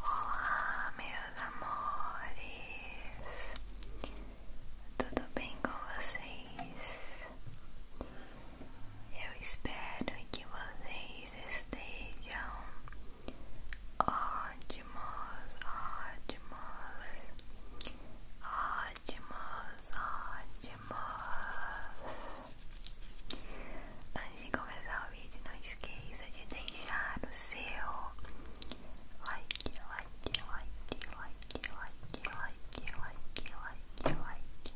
Olá, meus amores, tudo bem com vocês? Eu espero que vocês estejam ótimos, ótimos, ótimos, ótimos. Antes de começar o vídeo, não esqueça de deixar o seu like, like, like, like, like, like, like, like, like.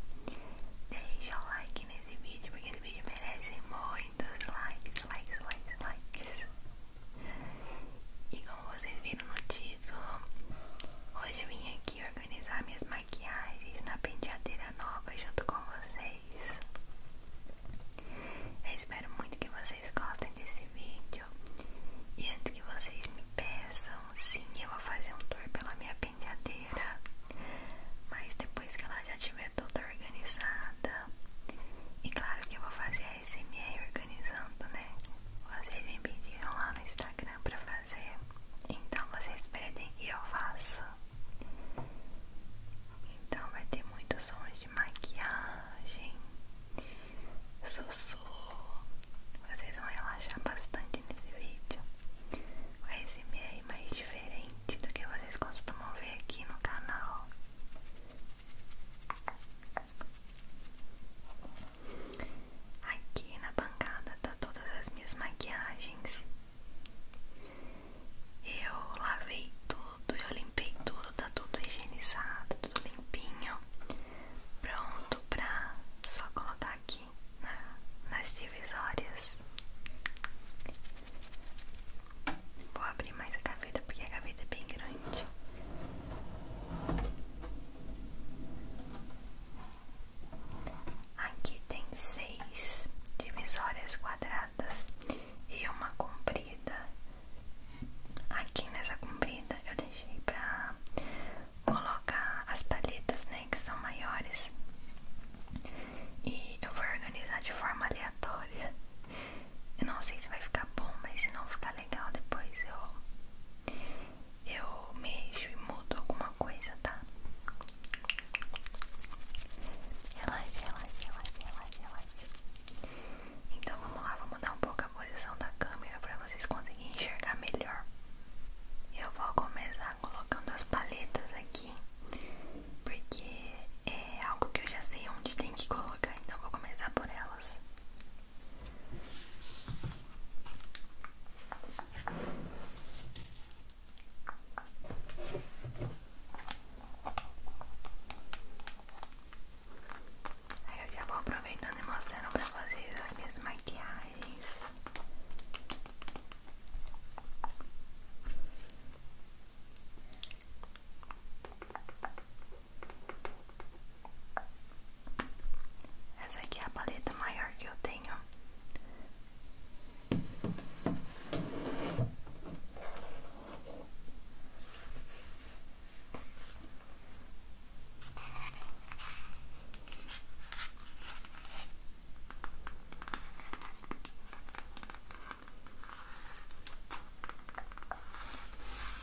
Deixa o um like nesse vídeo, porque esse vídeo merece muitos likes, likes, likes, likes. E como vocês viram no título, hoje eu vim aqui organizar minhas maquiagens na penteadeira nova junto com vocês. espero muito que vocês gostem desse vídeo. E antes que vocês me peçam, sim, eu vou fazer um tour pela minha penteadeira. Mas depois que ela já estiver toda organizada, e claro que eu vou fazer a SMR organizando, né vocês me pediram lá no Instagram pra fazer, então vocês pedem e eu faço. Então vai ter muitos sons de maquiagem, sussurro. Vocês vão relaxar bastante nesse vídeo. Vai ser meio mais diferente do que vocês costumam ver aqui no canal. Aqui na bancada tá todas as minhas maquiagens. Eu lavei tudo, eu limpei tudo, tá tudo higienizado, tudo limpinho, pronto pra só colocar aqui nas divisórias. Vou abrir mais a gaveta porque a gaveta é bem grande. Aqui tem seis divisórias quadradas e uma comprida. Aqui nessa comprida eu deixei para colocar as palhetas, né, que são maiores. E eu vou organizar de forma aleatória. Eu não sei se vai ficar bom, mas se não ficar legal depois eu eu mexo e mudo alguma coisa, tá? Relaxa, relaxa, relaxa, relaxa, relaxa. Então vamos lá, vou mudar um pouco a posição da câmera para vocês conseguirem enxergar melhor. Eu vou começar colocando as paletas aqui, porque é algo que eu já sei onde tem que colocar, então vou começar por elas. Aí eu já vou aproveitando e mostrando pra fazer as minhas maquiagens. Essa aqui é a paleta maior que eu tenho.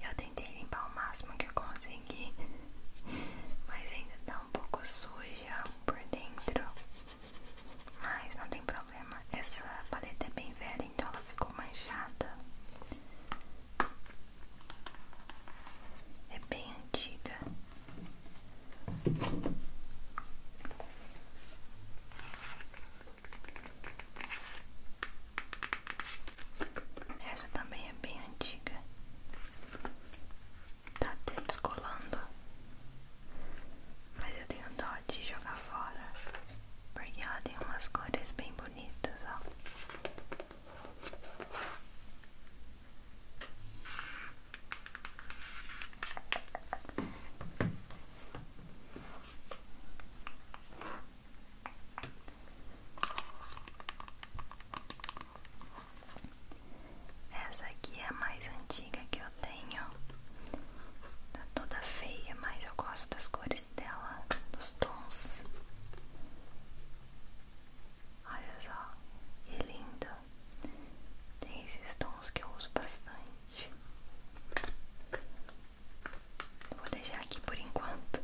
Eu tentei limpar o máximo que eu consegui, mas ainda tá um pouco suja por dentro. Mas não tem problema, essa paleta é bem velha, então ela ficou manchada. É bem antiga. Essa também é bem antiga. Tá até descolando. Mas eu tenho dó de jogar fora. Porque ela tem umas cores bem bonitas, ó. Essa aqui é a mais antiga que eu tenho. Tá toda feia, mas eu gosto das cores dela, dos tons. Olha só, que lindo. Tem esses tons que eu uso bastante. Vou deixar aqui por enquanto.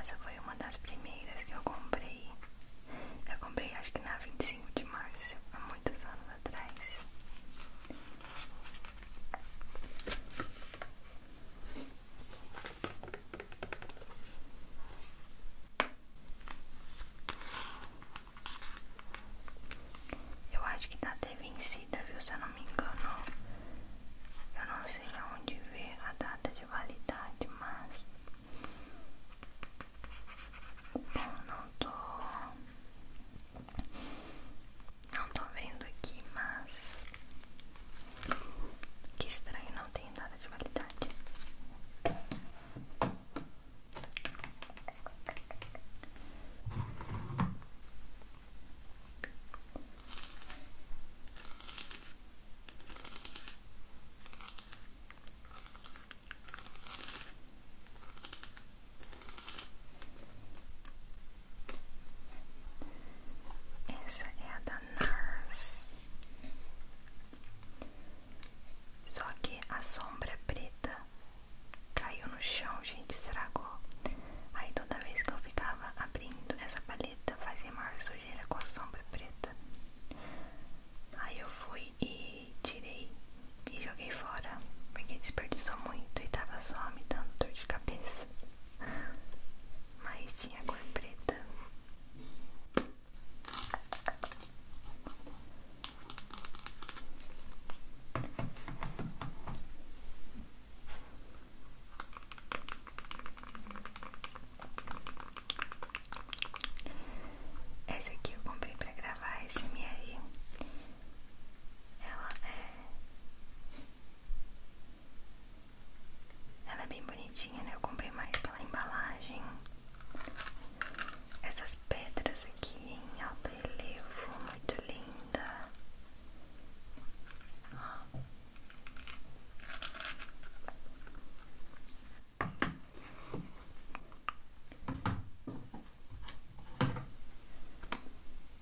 Essa foi uma das primeiras que eu comprei. Eu comprei acho que na 25 de março, há muitos anos atrás. Eu acho que tá até vencida, viu? Se eu não me engano, eu não sei aonde ver a data de validade, mas eu não tô não tô vendo aqui, mas. Que estranho, não tem nada de validade. Essa é a da NARS. Só que a sombra preta caiu no chão, gente, estragou. Aí toda vez que eu ficava abrindo essa paleta, fazia mais sujeira com a sombra preta. Aí eu fui e tirei e joguei fora porque desperdiçou muito e tava só me dando dor de cabeça. Mas tinha cor preta. Essa aqui eu comprei pra gravar esse SMR ela é. Ela é bem bonitinha, né? Eu comprei mais pela embalagem. Essas pedras aqui em alto muito linda.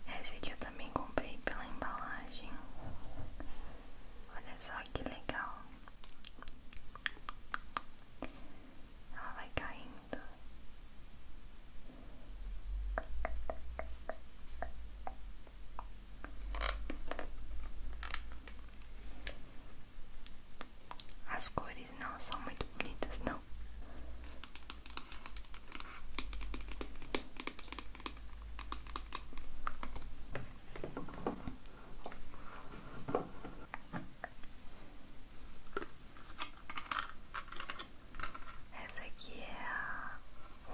Essa aqui eu também comprei pela embalagem. Olha só que legal. Ela vai caindo. As cores não são muito bonitas, não então. Essa aqui é a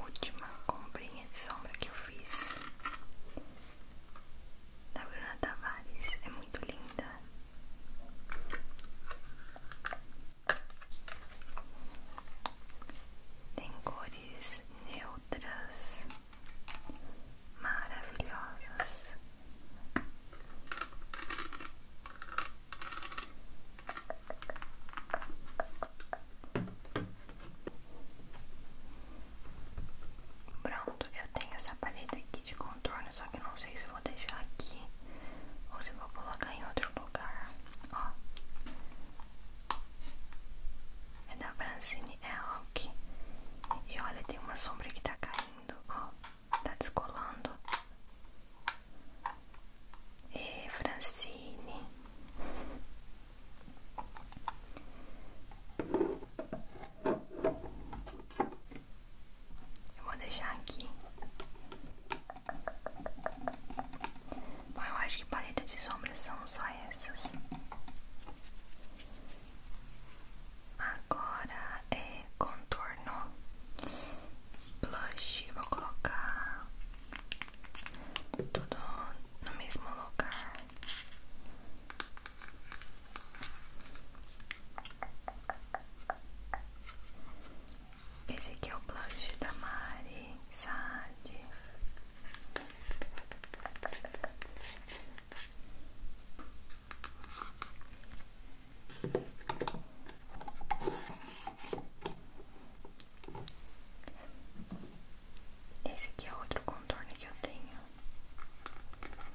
última comprinha de sombra que eu fiz da Bruna Tavares, é muito linda. Tem cores neutras maravilhosas. Pronto, eu tenho essa paleta aqui de contorno, só que não sei se vou deixar aqui ou se vou colocar em outro lugar. Ó, é da Francine Elk. E olha, tem uma sombra que tá caindo, ó, tá descolando. E Francine. Eu vou deixar aqui. Bom, eu acho que paleta de sombras são só essas. Agora é contorno blush. Vou colocar tudo no mesmo lugar. Esse aqui é o blush da Mari Saad. Esse aqui é outro contorno que eu tenho.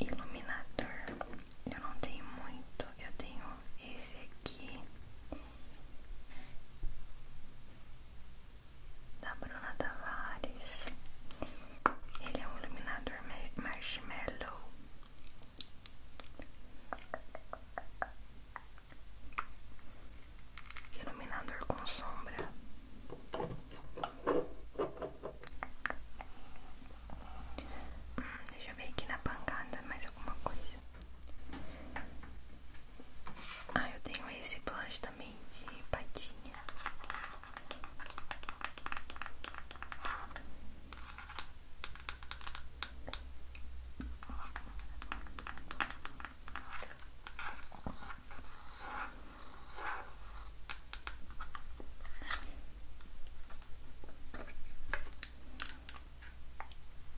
iluminador eu não tenho muito, eu tenho esse aqui da Bruna Tavares. Ele é um iluminador marshmallow. Iluminador com sombra deixa eu ver aqui na pancada mais alguma coisa. Ah, eu tenho esse blush também de patinha.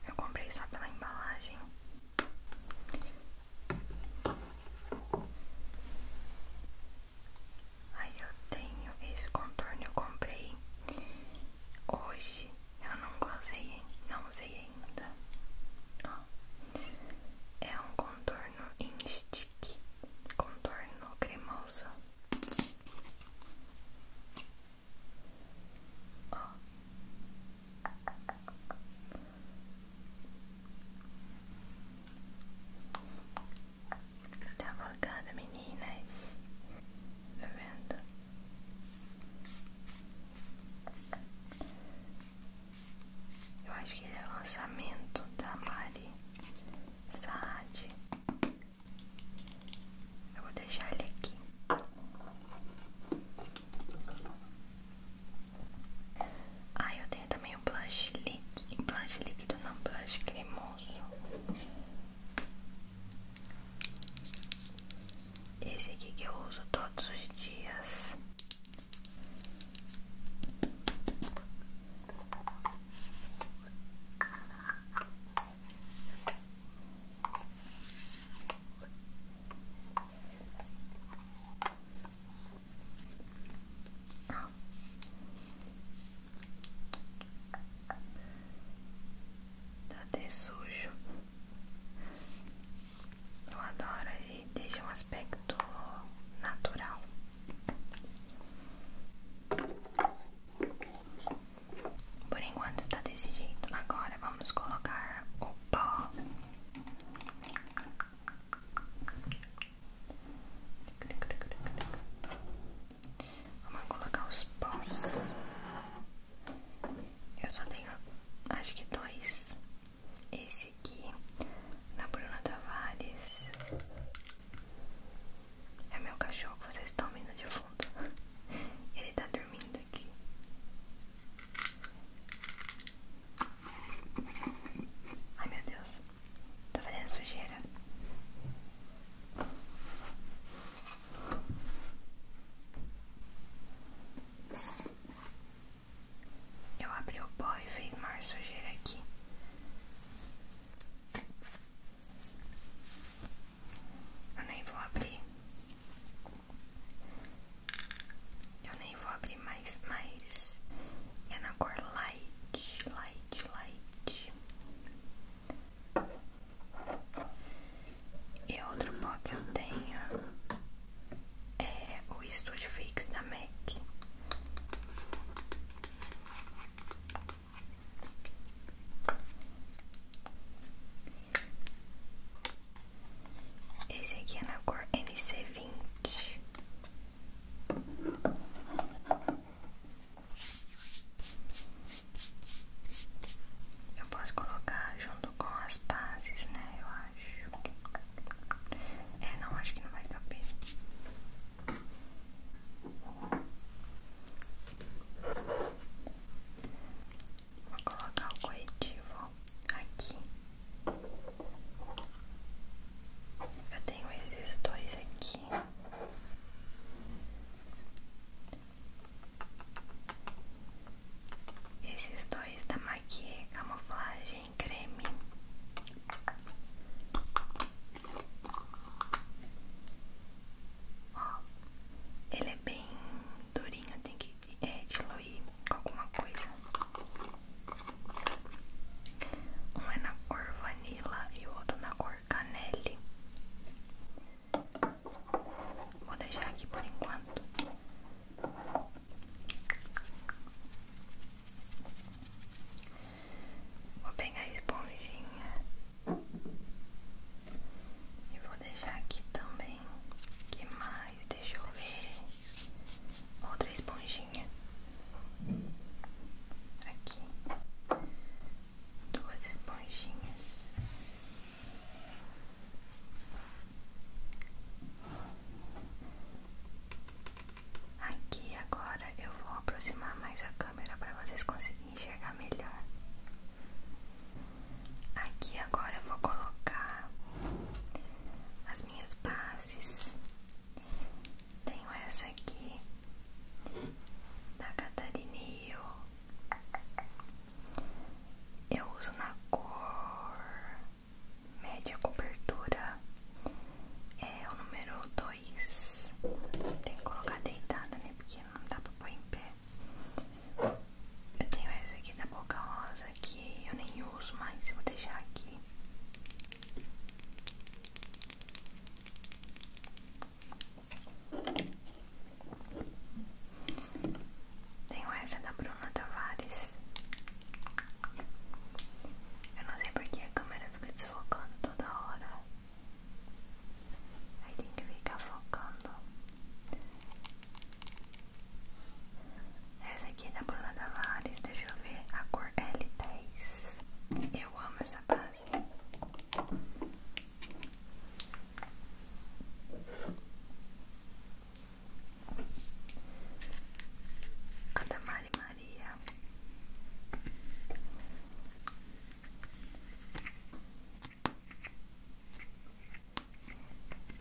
Eu comprei só pela embalagem. Aí eu tenho esse contorno, eu comprei hoje. Eu não usei, ainda. É um contorno em stick, contorno cremoso. Ó. Tá afogada, meninas. Tá vendo? Eu acho que é o lançamento da Mari Saad. Eu vou deixar ele aqui. Ah, eu tenho também o blush líquido. Blush líquido não, blush cremoso. Esse aqui que eu uso todos os dias. Tá até sujo. Eu adoro, ele deixa um aspecto natural. Por enquanto está desse jeito. Agora vamos colocar o pó. Vamos colocar os pós. Eu só tenho, acho que dois. Esse aqui da Bruna Tavares. É meu cachorro, vocês estão vendo de fundo. Ele tá dormindo aqui. Ai meu Deus, tá fazendo sujeira. Eu abri o pó e fiz mais sujeira aqui. Eu nem vou abrir. Eu nem vou abrir mais, mas é na cor light, light, light. E outro pó que eu tenho é o Studio Fix da MAC. Esse aqui é na cor NC20. Eu posso colocar junto com as bases, né? Eu acho. É, não, acho que não vai caber. Vou colocar o corretivo aqui. Eu tenho esses dois aqui. Esses dois da Maquia Camuflagem Creme ele é bem durinho, tem que é, diluir com alguma coisa. Um é na cor vanilla e o outro na cor canelle. Vou deixar aqui por enquanto. Vou pegar a esponjinha e vou deixar aqui também. Que mais? Deixa eu ver. Outra esponjinha. Aqui. Duas esponjinhas. Aqui agora eu vou aproximar mais a câmera para vocês conseguirem enxergar melhor. Aqui agora eu vou colocar as minhas bases. Tenho essa aqui da Catarineu. Eu uso na cor média cobertura é o número 2. Tem que colocar deitada, né? Porque não dá pra pôr em pé. Eu tenho essa aqui da Boca Rosa que eu nem uso mais. Vou deixar aqui. Tenho essa da Bruna Tavares. Eu não sei porque a câmera fica desfocando toda hora. Aí tem que ficar focando. Essa aqui é da Bruna Tavares, deixa eu ver, a cor L10. Eu amo essa base. A da Maria.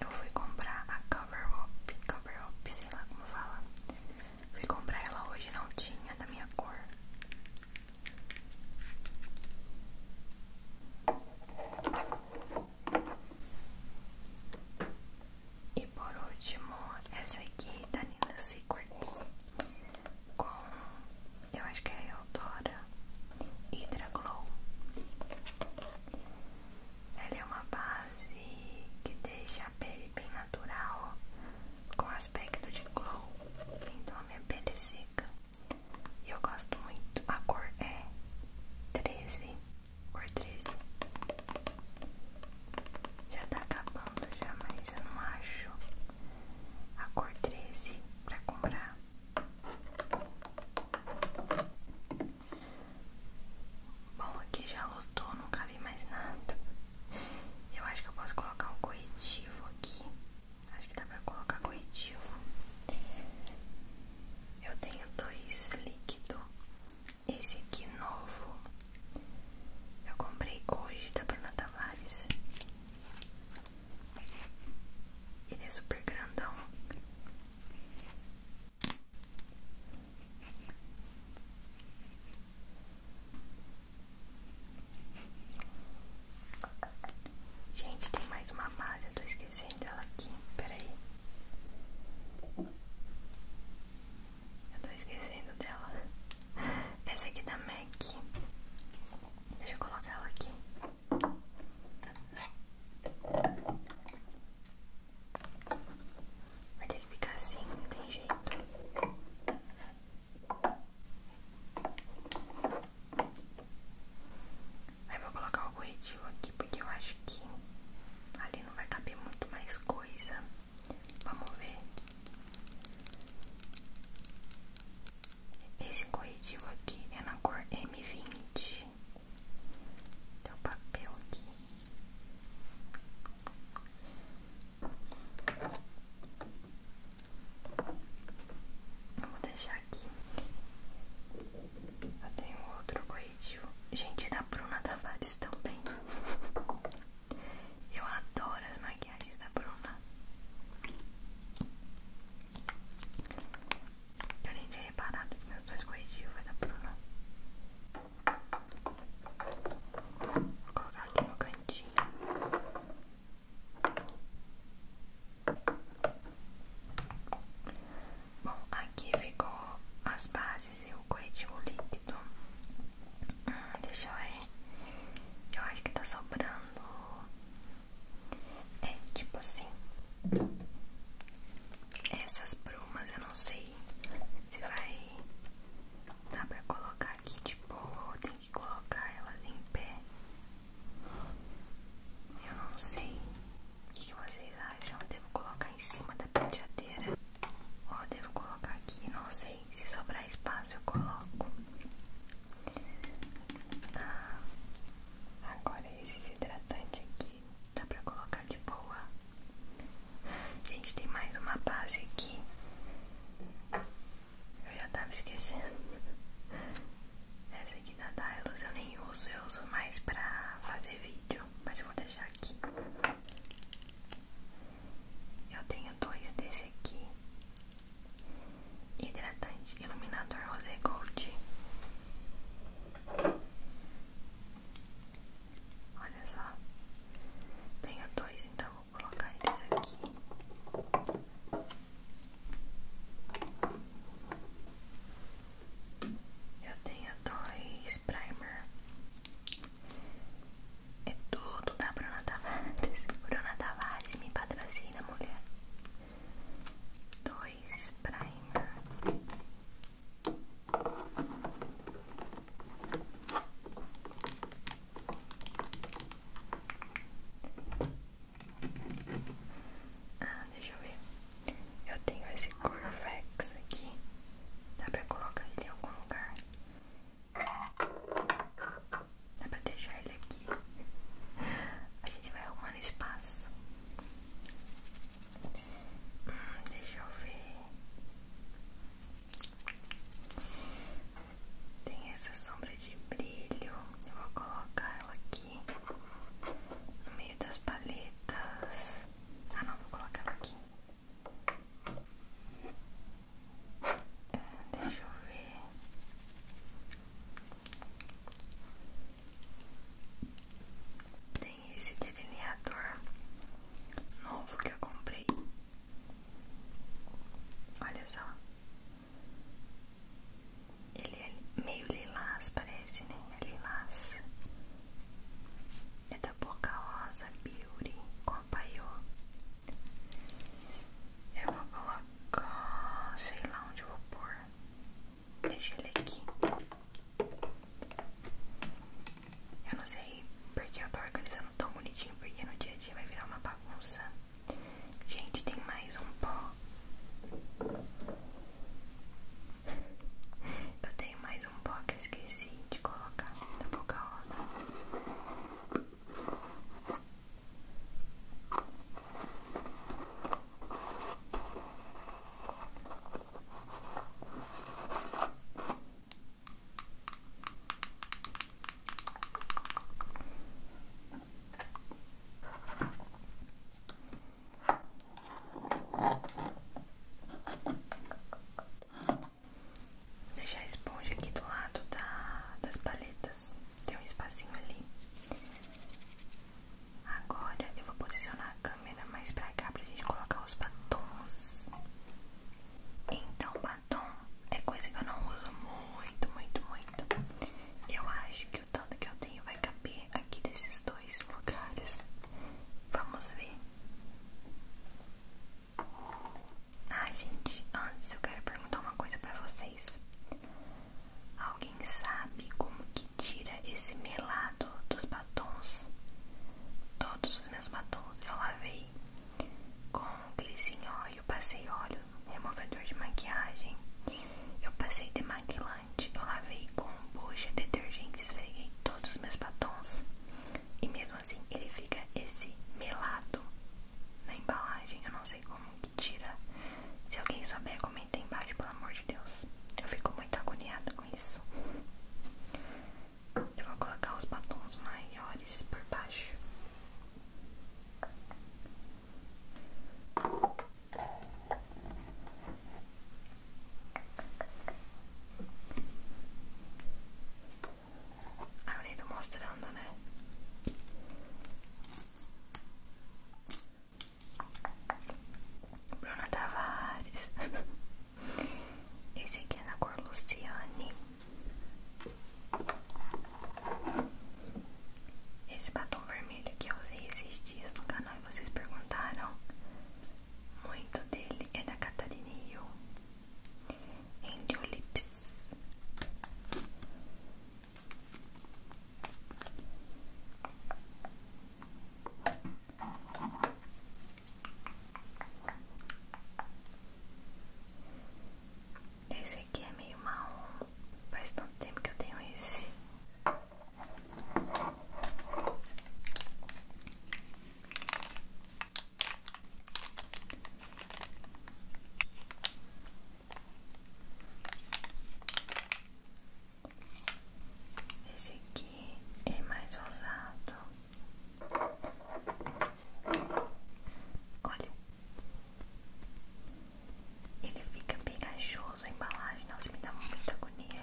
Eu fui comprar a cover up, cover up, sei lá como fala. Fui comprar ela hoje, não tinha da minha cor. E por último, essa aqui da Nina Secrets com, eu acho que é a Eudora Hydra Glow. Ela é uma base que deixa a pele bem natural, com aspecto de glow, então a minha pele é seca. E eu gosto muito, a cor é 13, cor 13. Já tá acabando já, mas eu não acho a cor 13 pra comprar. Bom, aqui já lotou, não cabe mais nada. Eu acho que eu posso colocar um corretivo aqui. Acho que dá pra colocar corretivo. Eu tenho dois líquidos esse aqui novo eu comprei hoje da tá Bruna Tavares. Ele é super grandão. Gente, tem mais uma base, eu tô esquecendo ela aqui. Peraí. Eu tô esquecendo dela. Essa aqui da MAC. É Deixa eu colocar ela aqui. Vai ter que ficar assim, não tem jeito. Aí vou colocar o corretivo aqui porque eu acho que ali não vai caber muito mais coisa. Vamos ver. Esse corretivo aqui é na cor M20. Tem um papel aqui. Eu vou deixar aqui. Eu tenho outro corretivo. Gente, é da Bruna Tavares também. Eu adoro as maquiagens da Bruna. Eu nem tinha reparado que minhas duas corretivos foi da Bruna. Vou colocar aqui no cantinho. Bom, aqui ficou as bases fazer o corretivo líquido. Ah, deixa eu ver. Eu acho que tá sobrando. É, tipo assim. Essas brumas eu não sei se vai dar pra colocar aqui, tipo, tem que colocar elas em pé. Eu não sei. O que vocês acham? Devo colocar em cima da penteadeira? Ó, devo colocar aqui, não sei se sobrar espaço eu coloco. Ah, agora esse hidratante aqui dá pra colocar de boa. Gente, tem mais uma base aqui. Eu já tava esquecendo. Essa aqui da Dylos eu nem uso, eu uso mais pra fazer vídeo, mas eu vou deixar aqui. Eu tenho dois desse aqui. Hidratante iluminador rosé gold. Olha só. Tenho dois, então vou colocar eles aqui. Eu tenho dois primer é tudo da Bruna Tavares. Bruna Tavares me patrocina, mulher. Dois primer. Ah, deixa eu ver. Eu tenho esse Corvex aqui. Dá pra colocar ele em algum lugar. Dá pra deixar ele aqui. A gente vai arrumando espaço. Hum, deixa eu ver. Tem essa sombra de brilho. Eu vou colocar ela aqui no meio das paletas. Ah, não, vou colocar ela aqui. Deixa eu ver. Tem esse delineador novo que eu comprei. Olha só. Ele é meio lilás, parece, né? É lilás. É da Boca Beauty com a Paiô. Eu vou colocar, sei lá onde eu vou pôr. Deixa ele aqui. Eu não sei porque eu tô organizando tão bonitinho, porque no dia a dia vai virar uma bagunça. Gente, tem mais um pó. Eu tenho mais um pouco esqueci de colocar da boca rosa. Vou deixar a esponja aqui do lado da, das paletas. Tem um espacinho ali. Agora eu vou posicionar a câmera mais pra cá pra gente colocar os batons. Então, batom é coisa que eu não uso muito, muito, muito. Eu acho que o tanto que eu tenho vai caber aqui desses dois lugares. Vamos ver. Ah, gente, antes eu quero perguntar uma coisa pra vocês. Alguém sabe como que tira esse melado dos batons? Todos os meus batons eu lavei com glisin óleo, passei óleo, removedor de maquiagem, eu passei demaquilante, eu lavei com bucha, detergente, esfreguei todos os meus batons. E mesmo assim ele fica esse melado na embalagem. Eu não sei como que tira. Se alguém souber, comenta aí embaixo, pelo amor de Deus. Eu fico muito agoniada com isso. Eu vou colocar os batons maiores por baixo. Är hon inte mostrande né? Bruna Tavares. Esse aqui é na cor Luciane. Esse batom vermelho que eu usei esses dias no canal e vocês perguntaram muito dele é da Catarina Hill. Endolips. Esse aqui é meio marrom. Faz tanto tempo que eu tenho esse. Esse aqui é mais ousado. Olha, ele fica pegajoso a embalagem. Nossa, me dá muita agonia.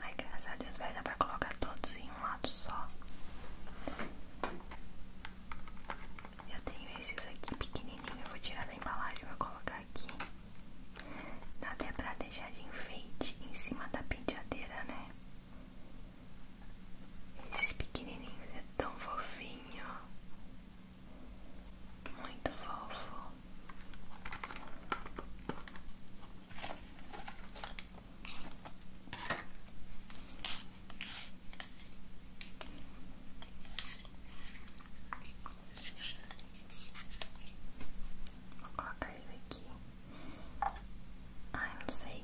Ai, graças a Deus, vai dar pra colocar todos em um lado só. Eu tenho esses aqui pequenininhos eu vou tirar da embalagem e vou colocar aqui. Dá até pra deixar de enfeite em cima da penteadeira, né? Esses pequenininhos é tão fofinho. Muito fofo. Vou colocar ele aqui. Ai, não sei.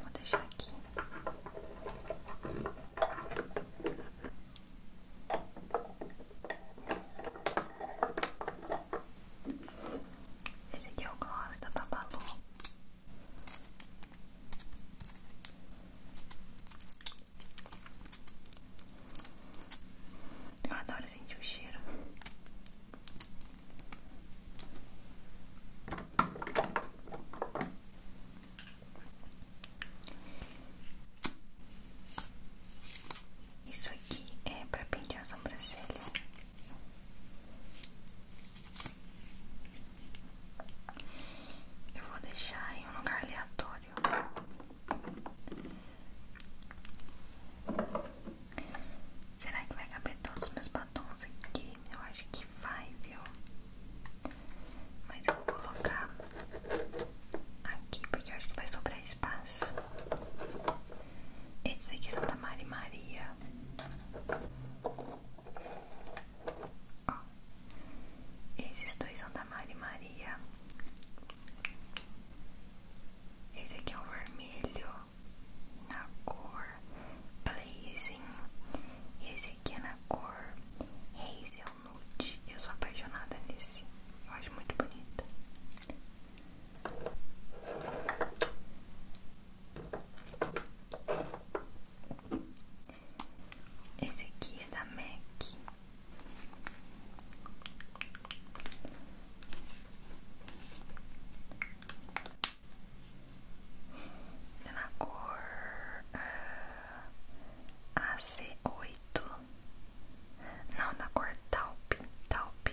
Vou deixar aqui. Esse aqui é o gloss da Babalu. Eu adoro sentir o cheiro. Isso aqui é pra pentear a sobrancelha. Eu vou deixar em um lugar aleatório. Será que vai caber todos os meus batons aqui? Eu acho que vai, viu? Mas eu vou colocar aqui porque eu acho que vai sobrar espaço. Esses aqui é são da Mari Maria. esses dois são da Mari Maria. Esse aqui é o vermelho na cor Blazing. E esse aqui é na cor Hazelnut. Eu sou apaixonada nesse. Eu acho muito bonito. Esse aqui é da MAC. É na cor uh, ah, ac oito, Não, na cor Taupe. Taupe.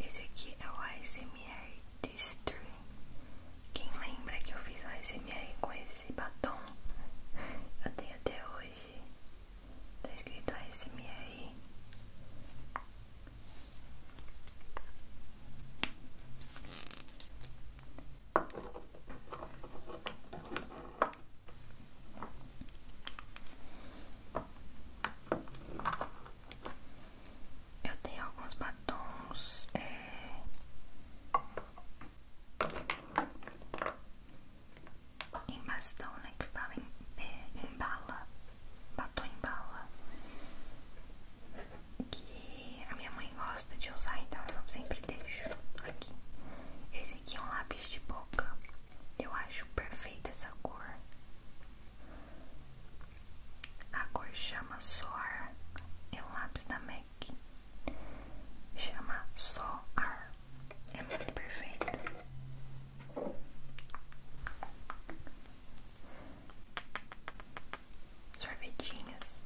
Esse aqui é o ASMR History. Quem lembra que eu fiz o ASMR com esse batom? Eu tenho até hoje. Tá escrito ASMR. Eu tenho alguns batons é, em bastão, né? Que fala em, é, bala, batom em bala. Que a minha mãe gosta de usar, então eu sempre deixo aqui. Esse aqui é um lápis lápis de boca. Eu acho perfeita essa cor. A cor chama Soar. É um lápis da MAC. Chama Soar. É muito perfeito. sorvetinhas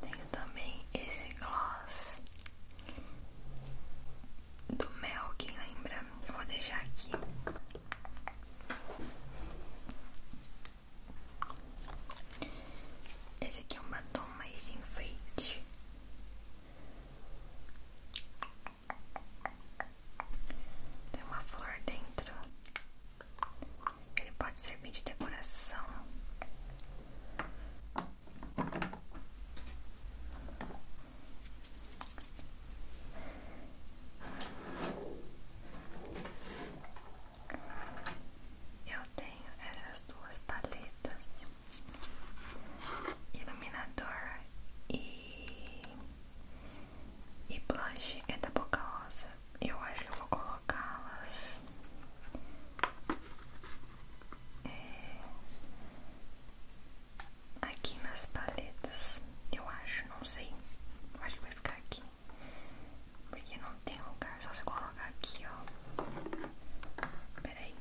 tenho também esse gloss do Mel, quem lembra? Eu vou deixar aqui esse aqui é um batom mais de enfeite. Tem uma flor dentro. Ele pode servir de decoração. Eu tenho essas duas paletas, iluminador e, e blush é da Boca Rosa. Eu acho que vou colocá-las é, aqui nas paletas, eu acho, não sei. acho que vai ficar aqui. Porque não tem lugar, só se colocar aqui, ó. Peraí.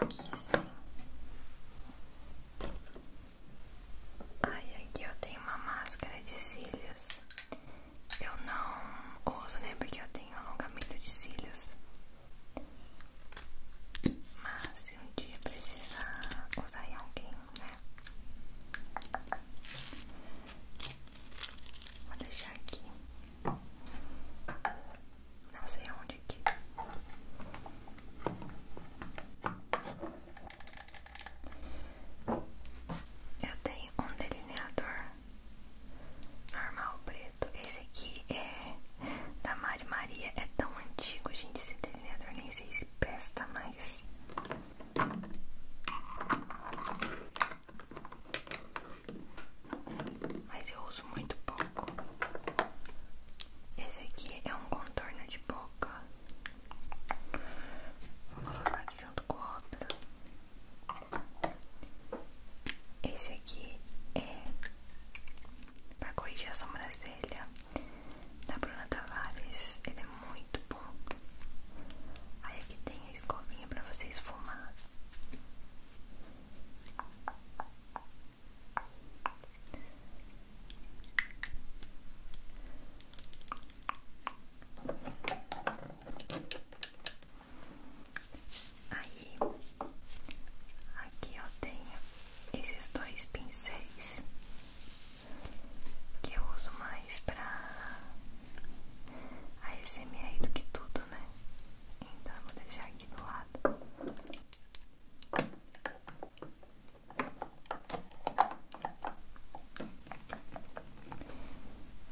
Aqui sim. Ai, aqui eu tenho uma máscara de cílios. Eu não uso, né? Porque eu tenho alongamento de cílios. Mas se um dia precisar usar em alguém, né? Vou deixar aqui. Não sei onde aqui. Eu tenho um delineador normal preto. Esse aqui é da Mari Maria. É tão antigo, gente, esse delineador. Nem sei se presta mais. Mas eu uso muito pouco. Esse aqui é um contorno de boca. Vou colocar aqui junto com o outro. Esse aqui é para corrigir a sobrancelha da Bruna Tavares, ele é muito bom. Aí aqui tem a escovinha pra vocês esfumar. Aí, aqui eu tenho esses dois pincéis que eu uso mais pra a ASMR do que tudo, né? Então eu vou deixar aqui do lado.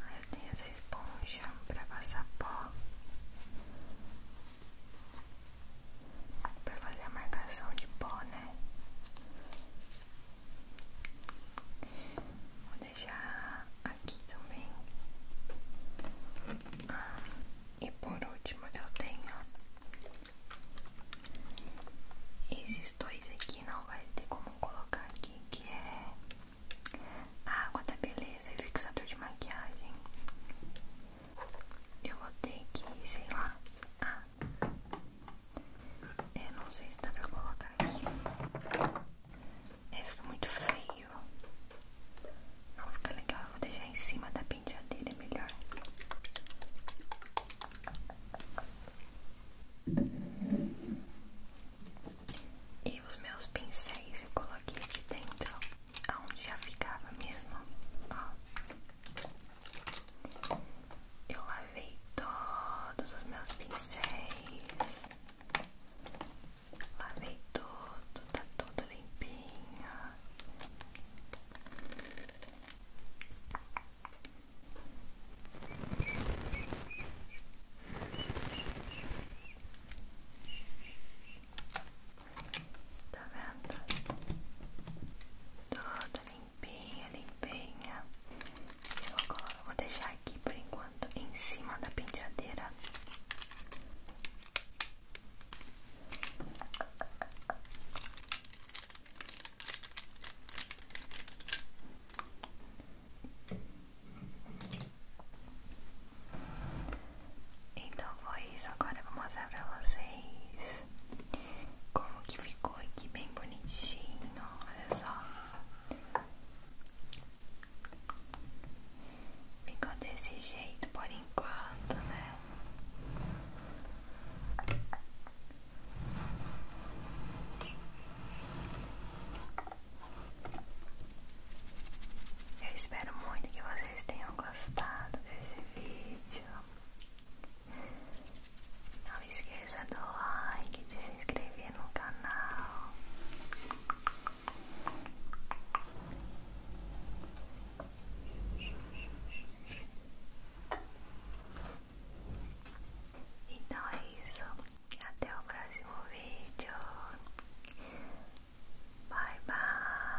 Aí eu tenho essa esponja pra passar pó. Pra fazer a marcação de pó, né? Vou deixar aqui também. Ah, e por último, eu tenho esses dois aqui. Não vai ter como colocar aqui, que é água da beleza e fixador de maquiagem. Eu vou ter que, sei lá. Ah, colocar. É, eu não sei se dá pra colocar aqui. É, fica muito feio. Não fica legal, eu vou deixar em cima da penteadeira, é melhor. E os meus pincéis eu coloquei aqui dentro, aonde já ficava mesmo, ó. Eu lavei todos os meus pincéis. Lavei tudo, tá tudo limpinho. Tá vendo? Tudo limpinho limpinha, limpinha. Eu vou deixar aqui por enquanto em cima da penteadeira. Então foi isso, agora eu vou mostrar pra vocês como que ficou aqui bem bonitinho, olha só. Ficou desse jeito por enquanto, né? Eu espero muito que vocês tenham gostado desse vídeo. Não esqueça do like, de se inscrever no canal. Então é isso. Até o próximo vídeo. Bye bye.